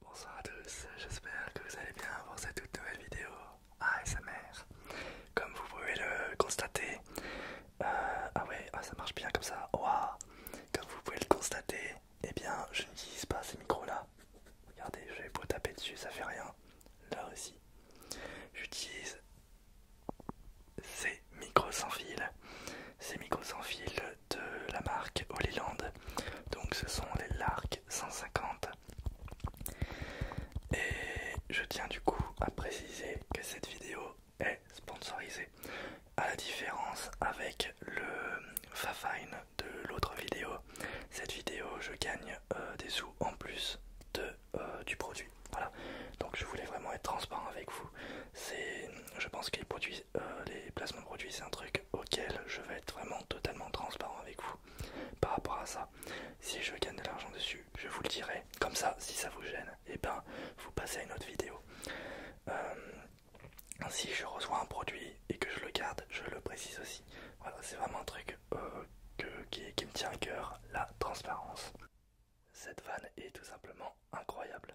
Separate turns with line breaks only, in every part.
Bonsoir à tous, j'espère que vous allez bien pour cette toute nouvelle vidéo ASMR. Comme vous pouvez le constater, euh, ah ouais, ah, ça marche bien comme ça, Comme vous pouvez le constater, eh bien je n'utilise pas ces micros là. Regardez, je vais pas taper dessus, ça fait rien. Là aussi, j'utilise ces micros sans fil. Ces micros sans fil de la marque Holyland. Donc ce sont les Lark 150. Et je tiens du coup à préciser que cette vidéo est sponsorisée. À la différence avec le Fafine de l'autre vidéo, cette vidéo je gagne euh, des sous en plus de, euh, du produit. Voilà. Donc je voulais vraiment être transparent avec vous. C'est, je pense que les produits euh, les placements de produits, c'est un truc auquel je vais être vraiment totalement transparent avec vous par rapport à ça. Si je gagne de l'argent dessus, je vous le dirai. Comme ça, si ça vous gêne, et eh ben vous passez à une autre vidéo. Euh, si je reçois un produit et que je le garde, je le précise aussi. Voilà, c'est vraiment un truc euh, qui, me tient à cœur, la transparence. Cette vanne est tout simplement incroyable.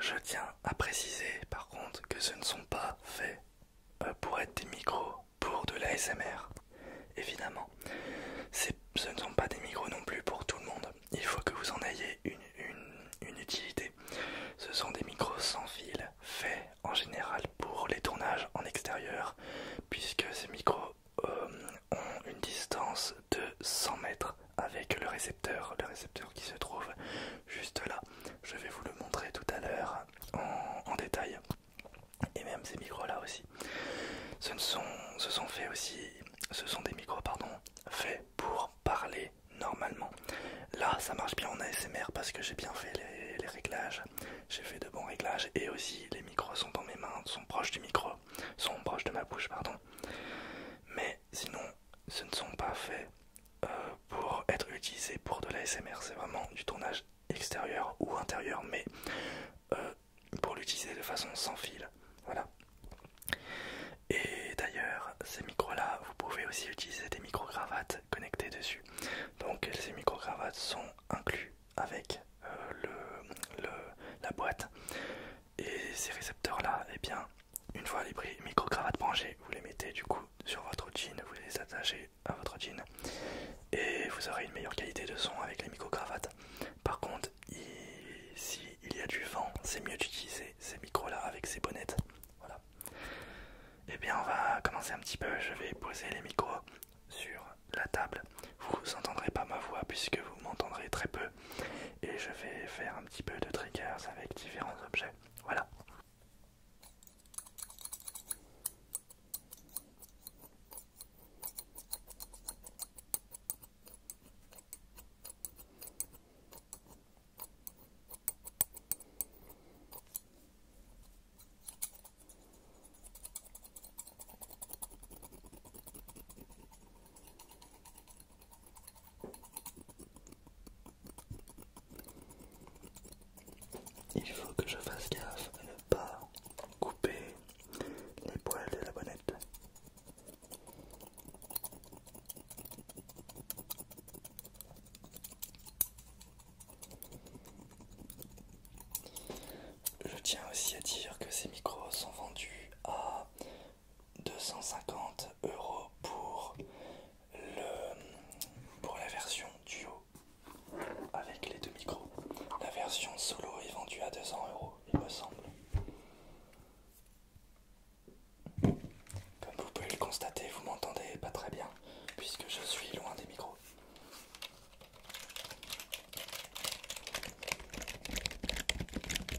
Je tiens à préciser par contre que ce ne sont pas faits euh, pour être des micros pour de l'ASMR. Évidemment, ce ne sont pas des micros non plus pour tout le monde. Il faut que vous en ayez une, utilité. Ce sont des micros sans fil, faits en général pour les tournages en extérieur, puisque ces micros euh, ont une distance de 100 mètres avec le récepteur le récepteur qui se trouve juste là. Je vais vous le montrer tout à l'heure en, détail. Et même ces micros là aussi. Ce, sont, ce sont faits aussi, ce sont des micros pardon, faits pour parler normalement. Là ça marche bien en ASMR parce que j'ai bien fait les, réglages, j'ai fait de bons réglages et aussi les micros sont dans mes mains, sont proches du micro, sont proches de ma bouche pardon. Mais sinon ce ne sont pas faits euh, pour être utilisés pour de la l'ASMR, c'est vraiment du tournage extérieur ou intérieur, mais euh, pour l'utiliser de façon sans fil. Voilà. Et d'ailleurs, ces micros-là, vous pouvez aussi utiliser des micro-cravates connectées dessus. Donc ces micro-cravates sont inclus avec euh, la boîte. Et ces récepteurs-là, eh bien, une fois les micro-cravates branchées, vous les mettez du coup sur votre jean, vous les attachez à votre jean et vous aurez une meilleure qualité de son avec les micro-cravates. Par contre, s'il y a du vent, c'est mieux d'utiliser ces micros-là avec ces bonnettes. Voilà. Et eh bien, on va commencer un petit peu. Je vais poser les micros sur la table. Vous n'entendrez pas ma voix puisque vous m'entendrez très peu et je vais faire un petit peu de triggers avec différents objets. Voilà. Il faut que je fasse gaffe à ne pas couper les poils de la bonnette. Je tiens aussi à dire que ces micros sont vendus à 250 euros pour le pour la version duo avec les deux micros. La version solo est vendue à 200 euros, il me semble. Comme vous pouvez le constater, vous m'entendez pas très bien puisque je suis loin des micros.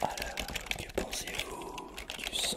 Alors, que pensez-vous du son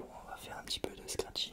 On va faire un petit peu de scratching.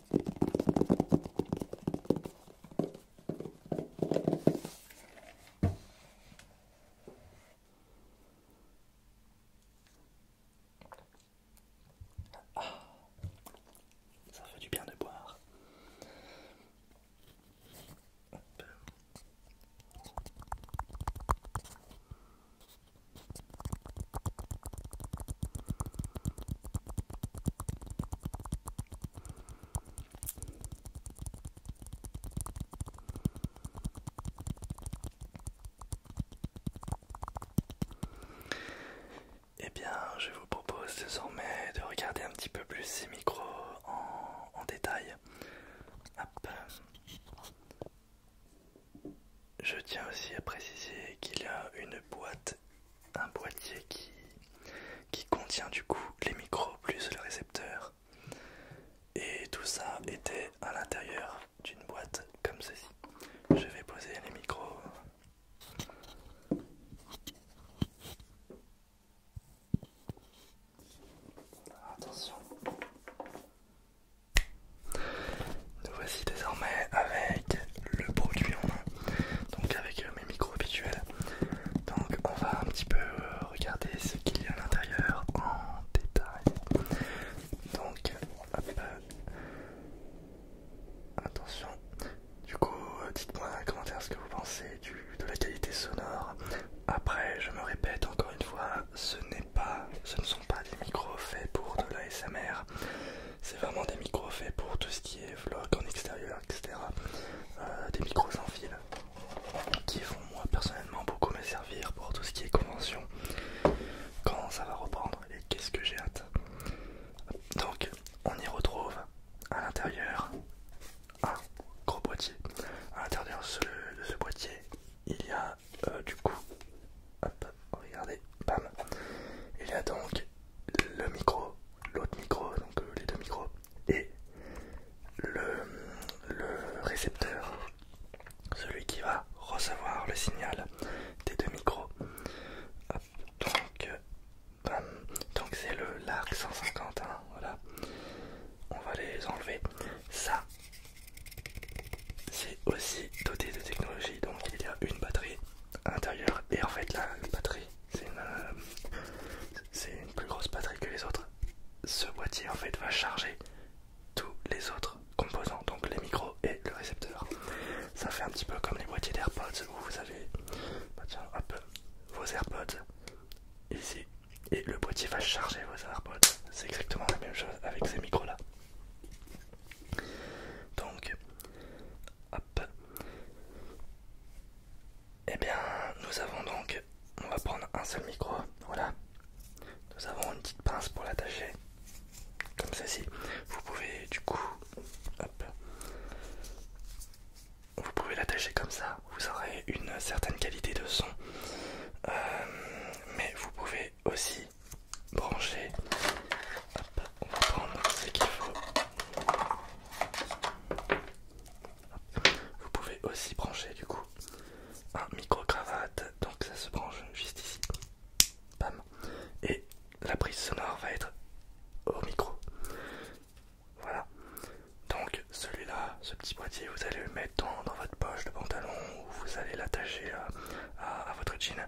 ça fait du bien de boire. Eh bien, je vous propose désormais de regarder un petit peu plus ces micros en, détail. Je tiens aussi à préciser qu'il y a une boîte un boîtier qui, qui contient du coup les micros plus le récepteur. Et tout ça était à l'intérieur d'une boîte comme ceci. Je vais poser les micros. Attention. Nous voici désormais avec le produit en main, donc avec euh, mes micros habituels. Donc on va un petit peu euh, regarder ce qu'il y a à l'intérieur en détail. Donc euh, attention. Du coup, dites-moi dans les commentaires ce que vous pensez de la qualité sonore. Après, je me répète encore une fois, ce n'est pas, ce ne sont pas des micros faits pour de l'ASMR c'est vraiment des micros faits pour tout ce qui est vlog en extérieur, etc. Euh, des micros sans fil qui vont moi personnellement beaucoup me servir pour tout ce qui est convention quand ça va reprendre et qu'est-ce que j'ai hâte. Donc on y retrouve à l'intérieur un gros boîtier. À l'intérieur de ce boîtier il y a euh, du coup Oh, regardez, bam. Il y a donc le micro, l'autre micro, donc euh, les deux micros, et le, récepteur, celui qui va recevoir le signal des deux micros. donc, bam. Donc c'est le Larc 150, hein, voilà. On va les enlever. Ça, c'est aussi doté de technologie. Donc il y a une batterie à l'intérieur et en fait la, batterie euh, c'est une, plus grosse batterie que les autres ce boîtier en fait va charger tous les autres composants donc les micros et le récepteur ça fait un petit peu comme les boîtiers d'airpods où vous avez bah, vos airpods ici et le boîtier va charger vos airpods c'est exactement la même chose avec ces micros là donc et eh bien, nous avons donc, on va prendre un seul micro, voilà. Nous avons une petite pince pour l'attacher, comme ceci. Vous pouvez du coup, vous pouvez l'attacher comme ça. Vous aurez une certaine qualité de son, euh, mais vous pouvez aussi brancher on va prendre ce qu'il faut. Vous pouvez aussi brancher du coup un micro-cravate, donc ça se branche juste ici. Et la prise sonore va être au micro. Voilà. Donc celui-là, ce petit boîtier, vous allez le mettre dans, votre poche de pantalon ou vous allez l'attacher euh, à votre jean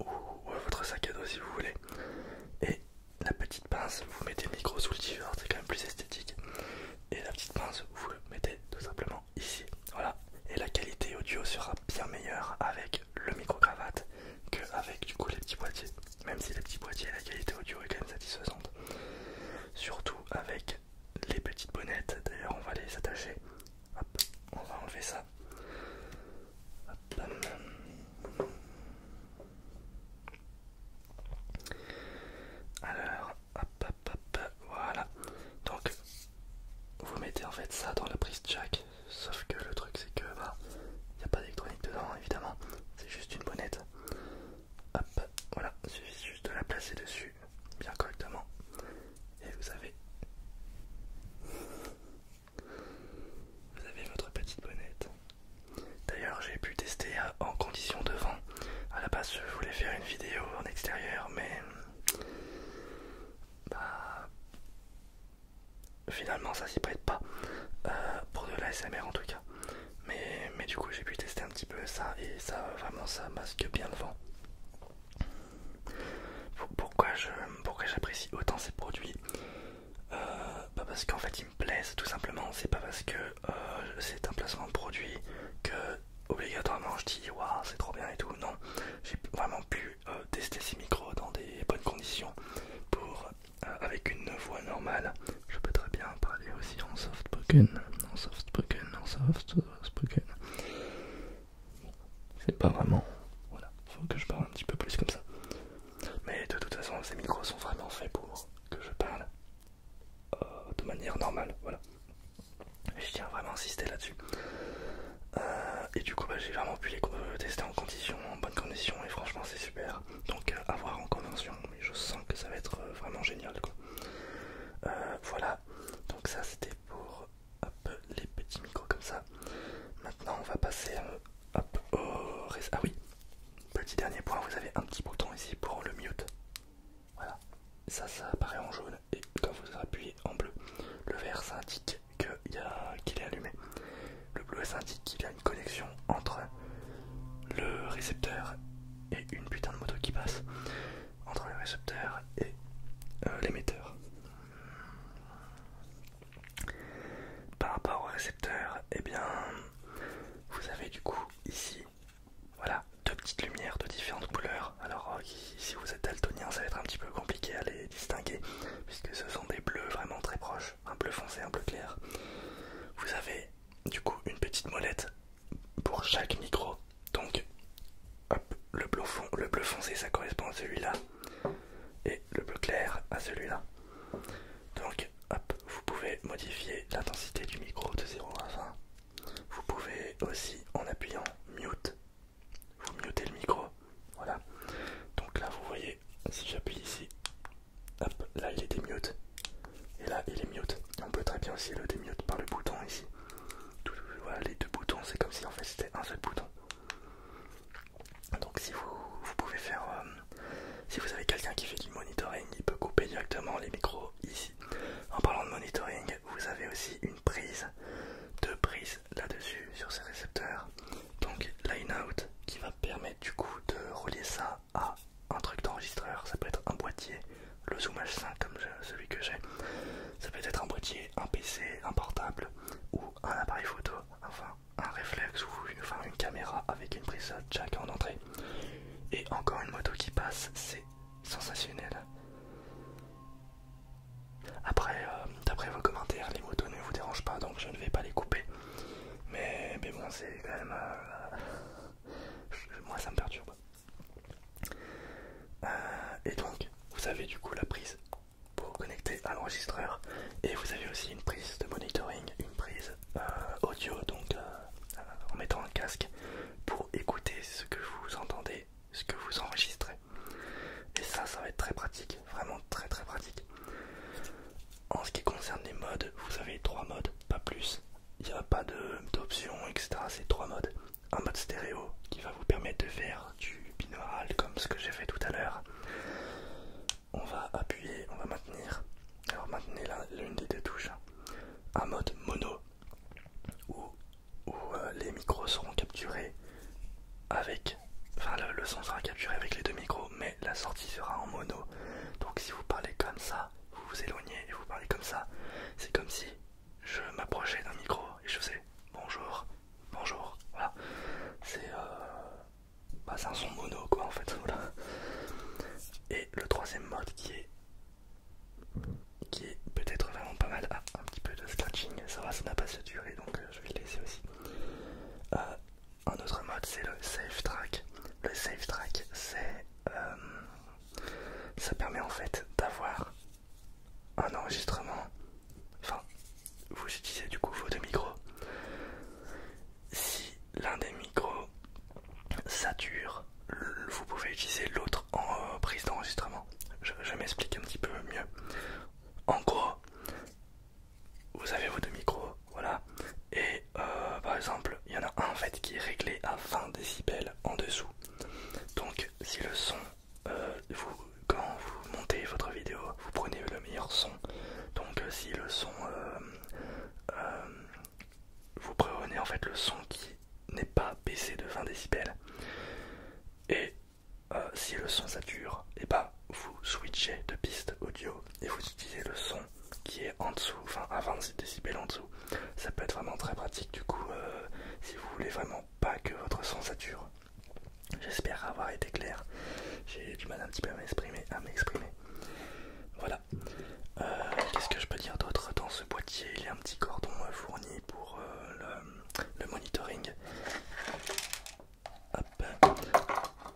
ou, votre sac à dos si vous voulez. Et la petite pince, vous mettez le micro sous le t-shirt, c'est quand même plus esthétique. Et la petite pince, vous le mettez tout simplement ici. Voilà. Et la qualité audio sera bien meilleure avec le micro-cravate que avec du coup les petits boîtiers. Même si les petits boîtiers, la qualité audio est quand même satisfaisante. Surtout avec les petites bonnettes. D'ailleurs, on va les attacher. on va enlever ça. Alors, hop, hop, hop, voilà. Donc, vous mettez en fait ça dans la prise jack, sauf que le truc c'est que bah, il n'y a pas d'électronique dedans évidemment, c'est juste une bonnette. Hop, voilà, il suffit juste de la placer dessus bien correctement et vous avez vous avez votre petite bonnette. D'ailleurs, j'ai pu tester euh, en condition de vent. À la base, je voulais faire une vidéo en extérieur, mais bah, finalement, ça s'y prête pas euh, pour de l'ASMR en tout cas. Mais, du coup, j'ai pu tester un petit peu ça et ça vraiment ça masque bien le vent. Pourquoi j'apprécie autant ces produits euh, pas parce qu'en fait il me plaisent tout simplement. C'est pas parce que euh, c'est un placement de produit que obligatoirement je dis waouh c'est trop bien et tout. Non, j'ai vraiment pu euh, tester ces micros dans des bonnes conditions pour avec une voix normale. Je peux très bien parler aussi en soft spoken, en soft spoken, en soft spoken. C'est pas vraiment. Voilà, faut que je parle un petit peu plus comme ça. Mais de toute façon, ces micros sont vraiment faits pour que je parle euh, de manière normale. Voilà. je tiens vraiment à insister là-dessus. Euh, et du coup, bah, j'ai vraiment pu les tester en conditions, en bonne condition, et franchement, c'est super. Donc, euh, à voir en convention, mais je sens que ça va être vraiment génial. Quoi. voilà. Donc ça, c'était pour un peu les petits micros comme ça. Maintenant, on va passer à... Oh, ah oui, petit dernier point, vous avez un petit bouton ici pour le mute. Voilà, ça, ça apparaît en jaune et quand vous appuyez en bleu, le vert ça indique qu'il est allumé. Le bleu ça indique qu'il y a une connexion entre le récepteur et une putain de moto qui passe. Entre le récepteur et euh, l'émetteur. Par rapport au récepteur, eh bien, vous avez du coup ici, voilà, deux petites lumières de différentes couleurs. Alors, euh, si vous êtes daltonien, ça va être un petit peu compliqué à les distinguer, puisque ce sont des bleus vraiment très proches, un bleu foncé, un bleu clair. Vous avez du coup une petite molette pour chaque micro. Donc, le bleu foncé, ça correspond à celui-là et le bleu clair à celui-là. Donc, hop, vous pouvez modifier l'intensité du micro de 0 à 20. Vous pouvez aussi, en appuyant mute, vous mutez le micro. Voilà. Donc là, vous voyez, si j'appuie ici, hop, là il est démute. Et là, il est mute. on peut très bien aussi le démute par le bouton ici. voilà, les deux boutons, c'est comme si en fait c'était un seul bouton. Donc si vous, pouvez faire, euh, si vous avez quelqu'un qui fait du monitoring, il peut couper directement les micros ici. En parlant de monitoring, vous avez aussi une prise, deux prises là-dessus sur ces récepteurs. Donc line out qui va permettre du coup de relier ça à un truc d'enregistreur. Ça peut être un boîtier, le Zoom H5 comme celui que j'ai. Ça peut être un boîtier, un PC, un portable ou un appareil photo un réflexe ou une, enfin, une caméra avec une prise jack en entrée et encore une moto qui passe, c'est sensationnel. Après, euh, d'après vos commentaires, les motos ne vous dérangent pas donc je ne vais pas les couper. Mais, bon, c'est quand même. Euh, moi ça me perturbe. Euh, et donc, vous avez du coup la prise pour vous connecter à l'enregistreur et vous avez aussi une prise de monitoring, une prise euh, audio donc euh, euh, en mettant un casque pour écouter ce que vous entendez, ce que vous enregistrez et ça ça va être très pratique, vraiment très très pratique. En ce qui concerne les modes, vous avez trois modes, pas plus, il n'y a pas d'options etc, c'est trois modes. Un mode stéréo qui va vous permettre de faire du binaural comme ce que j'ai fait tout à l'heure on va appuyer, on va maintenir. Alors maintenez l'une des deux touches hein. un mode mono où, euh, les micros seront capturés avec, enfin le, son sera capturé avec les deux micros, mais la sortie sera en mono. Donc si vous parlez comme ça, vous vous éloignez et vous parlez comme ça, c'est comme si je m'approchais d'un micro et je faisais bonjour, bonjour. Voilà, c'est euh, bah, c'est un son mono quoi en fait voilà. et le troisième mode qui est qui est peut-être vraiment pas mal ah, un petit peu de scratching ça va ça n'a pas se durer donc euh, je vais le laisser aussi euh, un autre mode c'est le safe track le safe track c'est euh, ça permet en fait d'avoir un enregistrement enfin vous utilisez du coup vos deux micros. Si l'un des micros sature, vous pouvez utiliser l'autre en euh, prise d'enregistrement. Je, m'explique un petit peu mieux. En gros, vous avez vos deux micros, voilà, et euh, par exemple, il y en a un fait qui est réglé à 20 décibels en dessous. Donc, si le son, euh, vous, montez votre vidéo, vous prenez le meilleur son. Donc euh, si le son, euh, euh, vous prenez en fait le son qui n'est pas baissé de 20 décibels. Et si le son sature, et eh ben, vous switchez de piste audio et vous utilisez le son qui est en dessous, enfin à 20 décibels en dessous. Ça peut être vraiment très pratique du coup si vous voulez vraiment pas que votre son sature. J'espère avoir été clair. J'ai du mal un petit peu à m'exprimer. À m'exprimer. Voilà. Euh, qu'est-ce que je peux dire d'autre Dans ce boîtier, il y a un petit cordon euh, fourni pour euh, le, monitoring.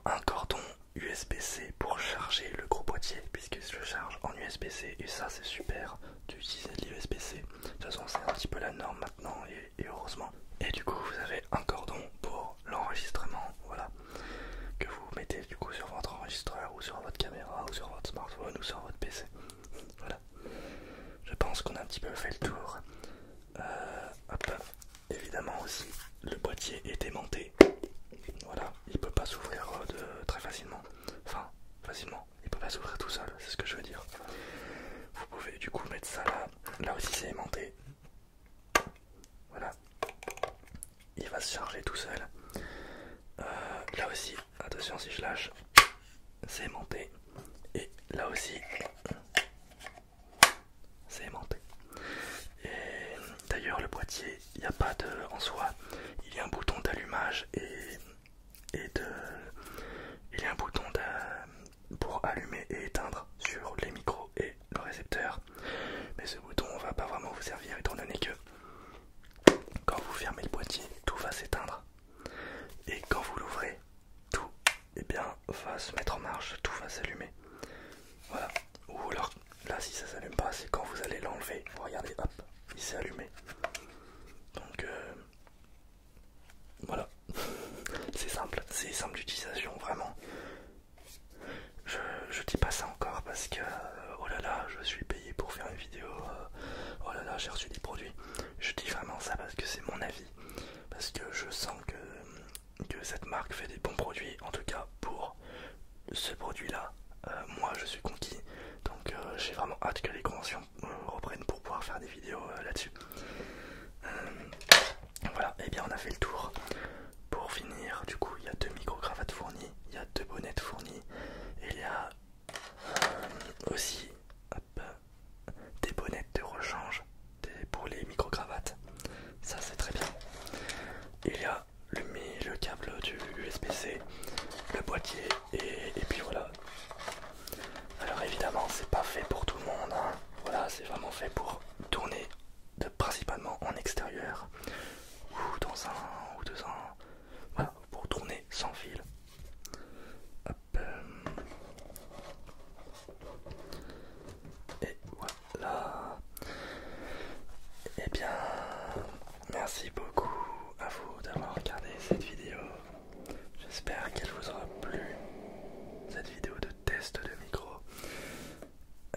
Un cordon USB-C pour charger le gros boîtier, puisque je charge en USB-C et ça c'est super d'utiliser de l'USB-C. De toute façon c'est un petit peu la norme maintenant et heureusement. Et du coup, vous avez un cordon pour l'enregistrement, voilà, que vous mettez du coup sur votre enregistreur ou sur votre caméra ou sur votre smartphone ou sur votre PC. Voilà. Je pense qu'on a un petit peu fait le tour. Euh, Évidemment aussi, le boîtier est aimanté. Voilà, il peut pas s'ouvrir euh, de très facilement. Enfin, facilement. Il peut pas s'ouvrir tout seul, c'est ce que je veux dire. Vous pouvez du coup mettre ça là. Là aussi c'est aimanté. Voilà. Il va se charger tout seul. Euh, là aussi, attention si je lâche, c'est aimanté. Et là aussi, c'est aimanté. Et d'ailleurs, le boîtier, il n'y a pas de. En soi, il y a un bouton d'allumage et, de. Il y a un bouton pour allumer et éteindre sur les micros et le récepteur. Mais ce bouton va pas vraiment vous servir étant donné que quand vous fermez le boîtier, tout va s'éteindre. Et quand vous l'ouvrez, tout eh bien, va se mettre en marche, tout va s'allumer. Voilà. Ou alors, là si ça s'allume pas, c'est quand vous allez l'enlever. Regardez, hop, il s'est allumé. Donc euh, voilà. c'est simple, c'est simple d'utilisation vraiment. Je, dis pas ça encore parce que euh, oh là là, je suis payé pour faire une vidéo, euh, oh là là, j'ai reçu des produits. Je dis vraiment ça parce que c'est mon avis, parce que je sens que, cette marque fait des bons produits, en tout cas pour ce produit là. Euh, moi je suis conquis, donc j'ai vraiment hâte que les conventions reprennent pour pouvoir faire des vidéos là-dessus. voilà, et eh bien on a fait le tour. Pour finir, du coup, il y a deux micro-cravates fournies, il y a deux bonnettes fournies, il y a euh, aussi des bonnettes de rechange pour les micro-cravates. Ça, c'est très bien. Il y a le, câble du USB-C, le boîtier, et, puis voilà. Alors évidemment, c'est pas fait pour tout le monde. Hein. Voilà, c'est vraiment fait pour tourner de, principalement en extérieur ou dans un ou deux ans, voilà pour tourner sans fil euh. et voilà et eh bien merci beaucoup à vous d'avoir regardé cette vidéo j'espère qu'elle vous aura plu cette vidéo de test de micro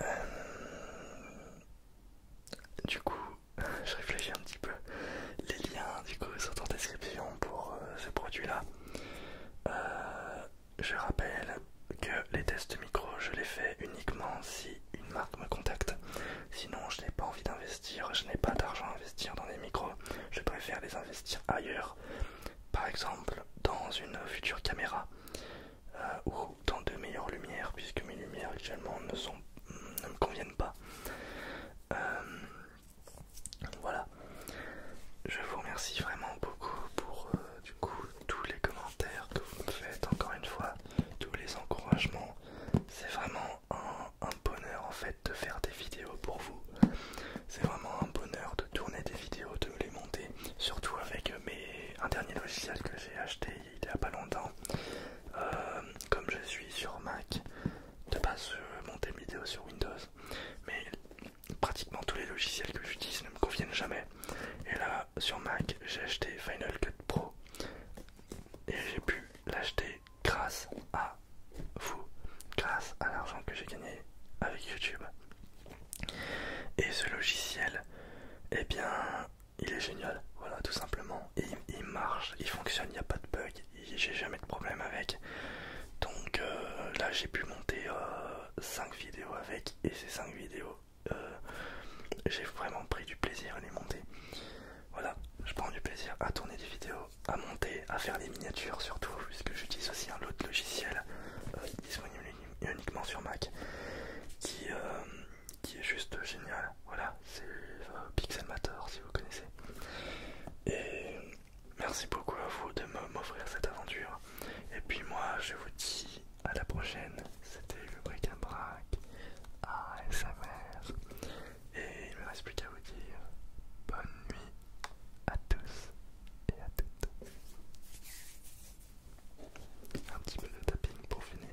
euh, du coup, je réfléchis un petit peu. Les liens du coup sont en description pour euh, ce produit là euh, je rappelle que les tests micro, je les fais uniquement si une marque me contacte. Sinon, je n'ai pas envie d'investir, je n'ai pas d'argent à investir dans les micros. Je préfère les investir ailleurs. Par exemple, dans une future caméra. Euh, ou dans de meilleures lumières puisque mes lumières actuellement ne, me conviennent pas. Euh, voilà. Je vous remercie vraiment beaucoup pour euh, du coup tous les commentaires que vous me faites encore une fois, tous les encouragements. C'est vraiment un, un bonheur en fait de faire des vidéos pour vous. C'est vraiment un bonheur tourner des vidéos, de les monter, surtout avec mes, un dernier logiciel que j'ai acheté il y a pas longtemps. Euh, comme je suis sur Mac, de pas se monter vidéos sur Windows, mais pratiquement tous les logiciels que j'utilise ne me conviennent jamais. Et là, sur Mac, j'ai acheté Final Cut Pro et j'ai pu l'acheter grâce à vous, grâce à l'argent que j'ai gagné avec YouTube. Et ce logiciel, eh bien, il est génial, voilà, tout simplement. il, marche, il fonctionne, il n'y a pas de bug, j'ai jamais de problème avec. Donc euh, là, j'ai pu monter 5 euh, vidéos avec, et ces 5 vidéos, euh, j'ai vraiment pris du plaisir à les monter. Voilà, je prends du plaisir à tourner des vidéos, à monter, à faire des miniatures surtout, puisque j'utilise aussi un autre logiciel disponible uniquement sur Mac, qui, euh, qui est juste génial. Voilà, c'est euh, Pixel Pixelmator si vous connaissez. Et merci beaucoup à vous de m'offrir cette aventure. Et puis moi, je vous dis à la prochaine. C'était le bric-à-brac ASMR. Et il me reste plus qu'à vous dire bonne nuit à tous et à toutes. Un petit peu de tapping pour finir.